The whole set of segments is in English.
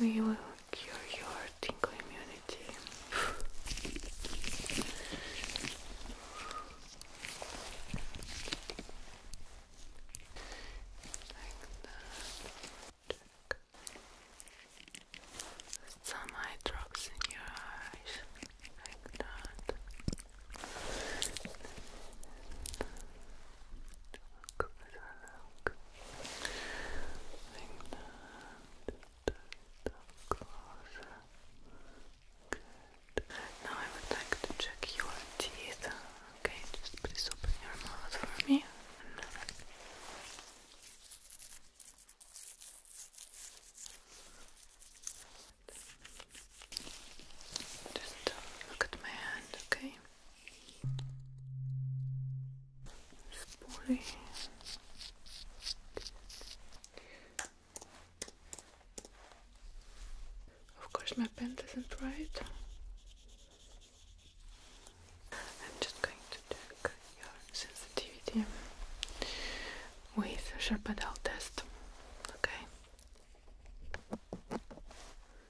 We will cure your tingle immunity. like that. Some eye drops in your eyes, like that. look. Like that. Now I would like to check your teeth. Okay, just please open your mouth for me. Just uh, look at my hand, okay? Of course, my pen does not write. I'm just going to check your sensitivity with a sharp test. Okay.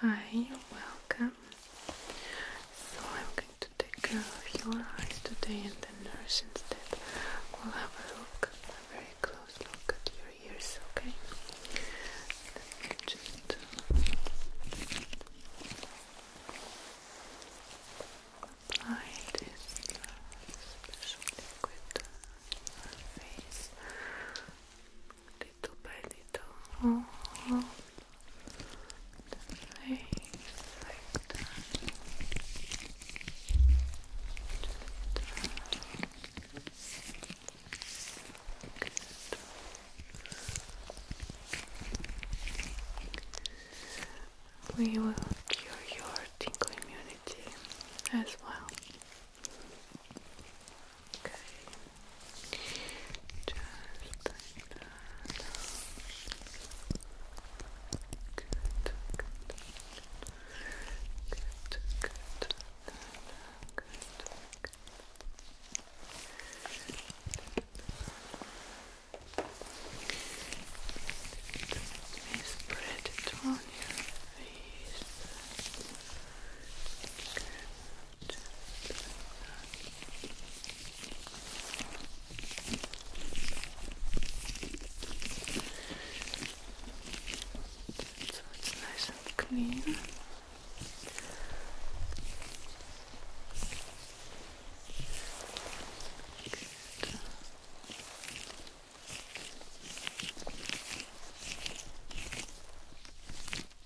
Hi, welcome. So I'm going to take care of your eyes today and the nurse instead will have a look, a very close look at your ears, okay? just apply this liquid face little by little We will cure your tingle immunity as well. Okay. Just like that. Good, good, good, good, good, Let me spread it on your face. So it's nice and clean.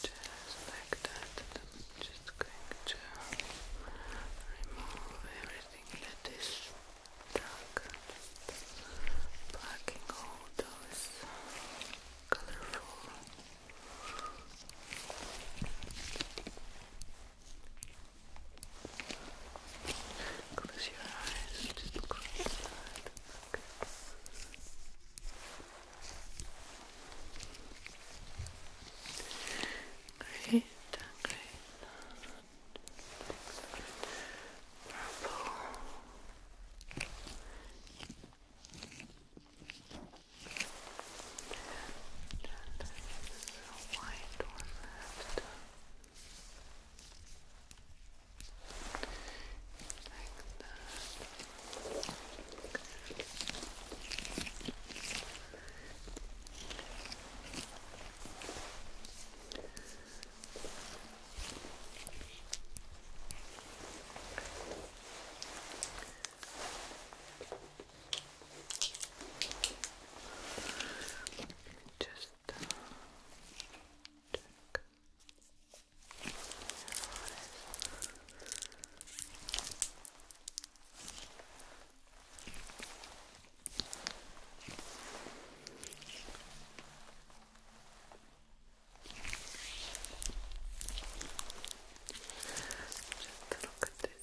Just like that, just going to remove everything that is stuck, blocking all those colorful Close your eyes, just close your eyes. Great, great. Purple. And a white one left. Like that. Just uh, check. Your eyes. Just look at this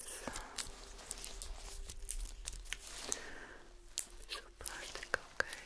piece plastic, okay?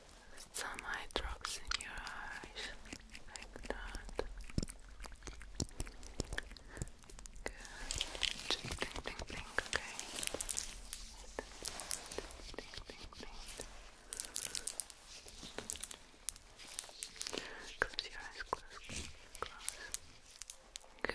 some eye drops in your eyes, like that. Good. blink, blink, blink, okay? Close your eyes, close, close. Good.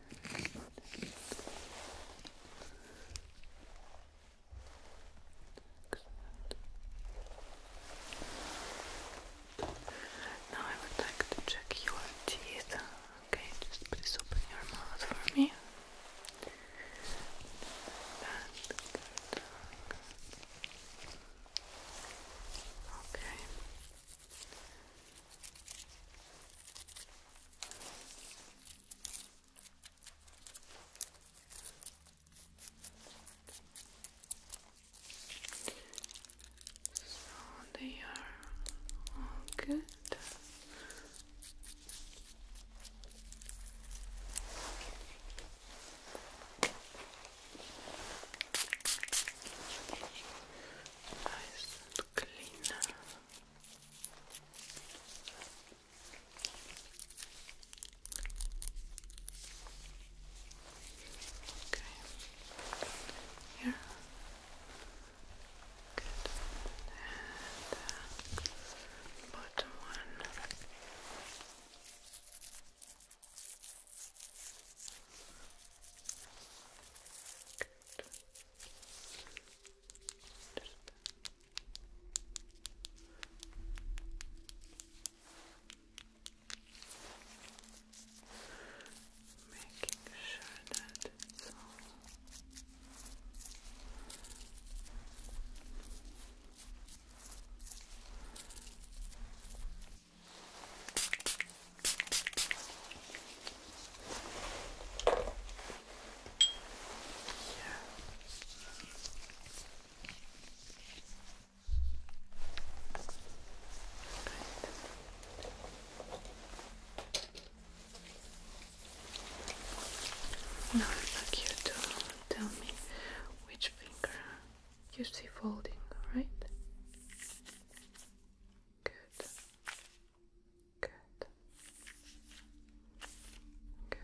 Now I would like to check your teeth. Okay, just please open your mouth for me. Okay. So they are all good. Nice and clean. Okay. Here. Good. And uh, bottom one. Good. Making sure that it's all now I'd like you tell me which finger you see folding, alright? Good. Good. Good.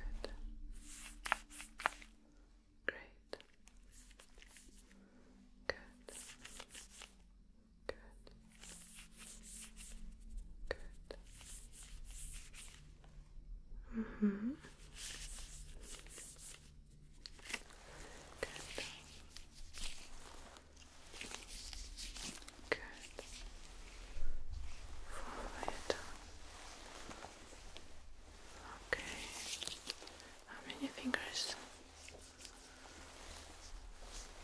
Great. Good. Good. Good. Mm hmm. Good. Good. Forward. Okay. How many fingers?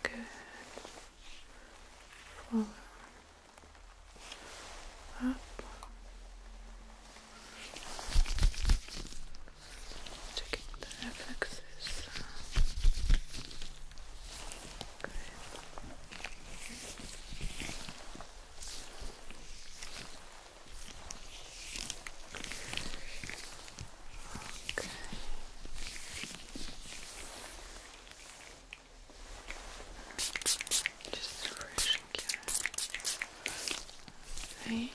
Good. Follow. Up. Checking the reflexes. Good. Okay. Just brushing your face.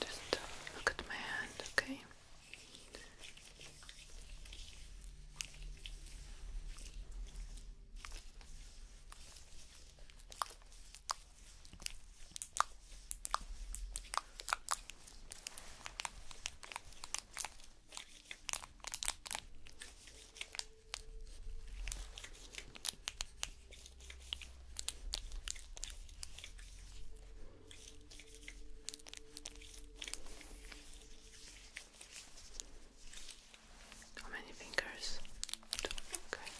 Just uh, look at my hand, okay? How many fingers? Two. Okay.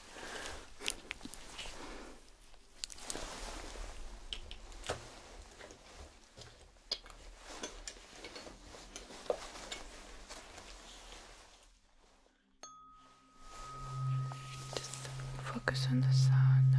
Just focus on the sound now.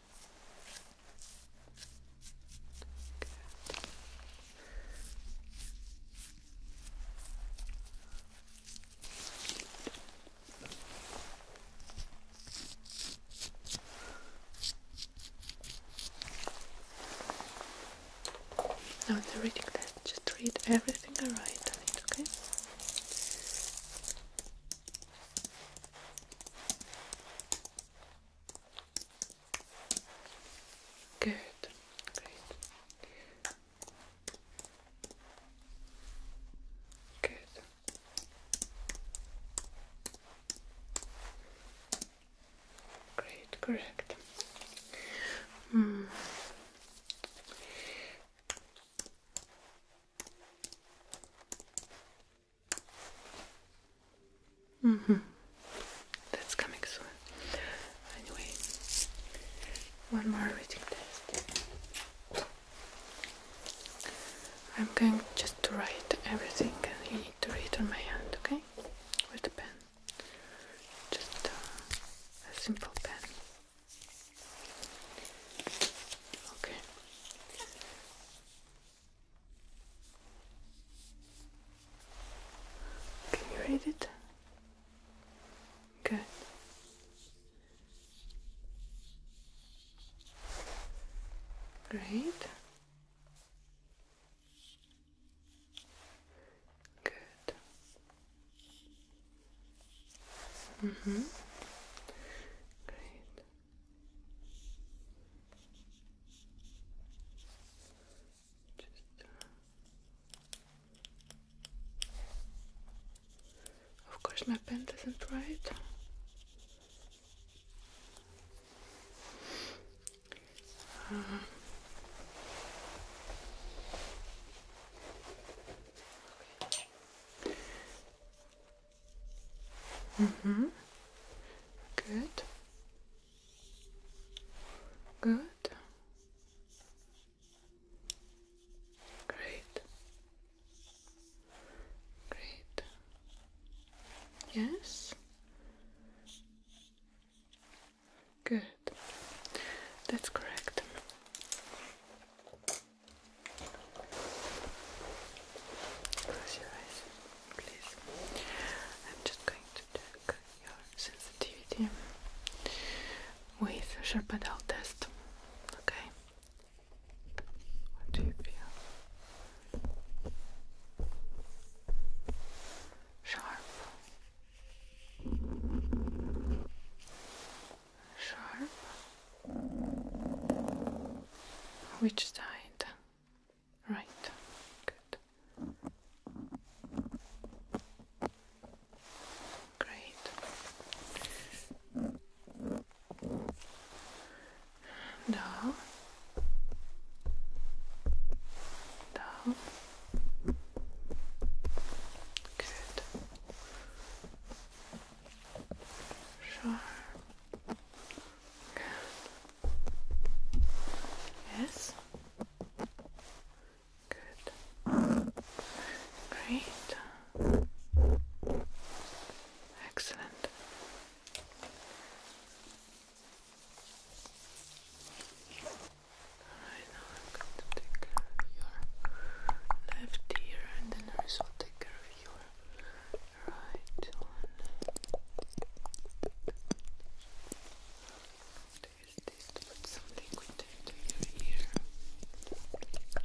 Now, in the reading that, just read everything I write okay? Good, great. Good. Great, correct. Hmm. Mm hmm. That's coming soon. Anyway, one more reading test. I'm going just to write everything and you need to read on my hand, okay? With the pen. Just uh, a simple pen. Okay. Can you read it? Good. Great. Good. Mm-hmm. Great. Uh, of course, my pen doesn't write. Uh, Mm-hmm. Good. Good. Great. Great. Yes. Good. That's correct. Close your eyes, please. I'm just going to check your sensitivity with a sharp pedal test. Okay. What do you feel? Sharp. Sharp. Which side? Right. Good. Great. Down. Down. Good. Sharp. Yes. Good. Great. Excellent. Alright, now I'm going to take care of your left ear and the nurse will take care of your right one. There's this, put some liquid into your ear. Good.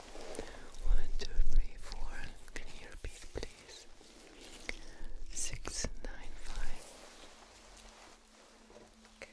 One, two, three, four. Can you please? Six, nine, five. Okay.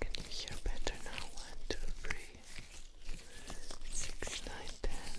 Can you hear better now? One, two, three, six, nine, ten.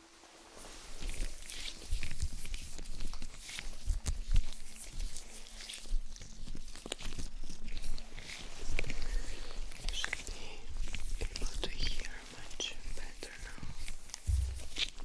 You should be able to hear much better now. Okay.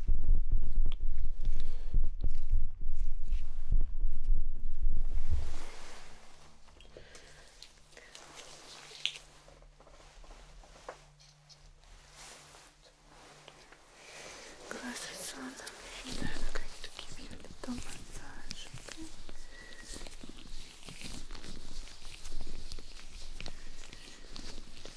Glasses on, I'm going to give you a little massage, okay?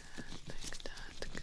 like that. Good. Good.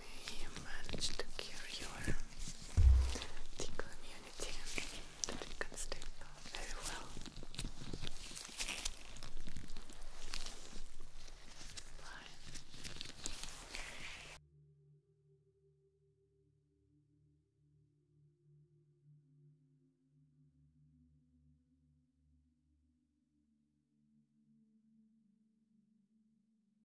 we managed to cure your tickle immunity that you can sleep very well.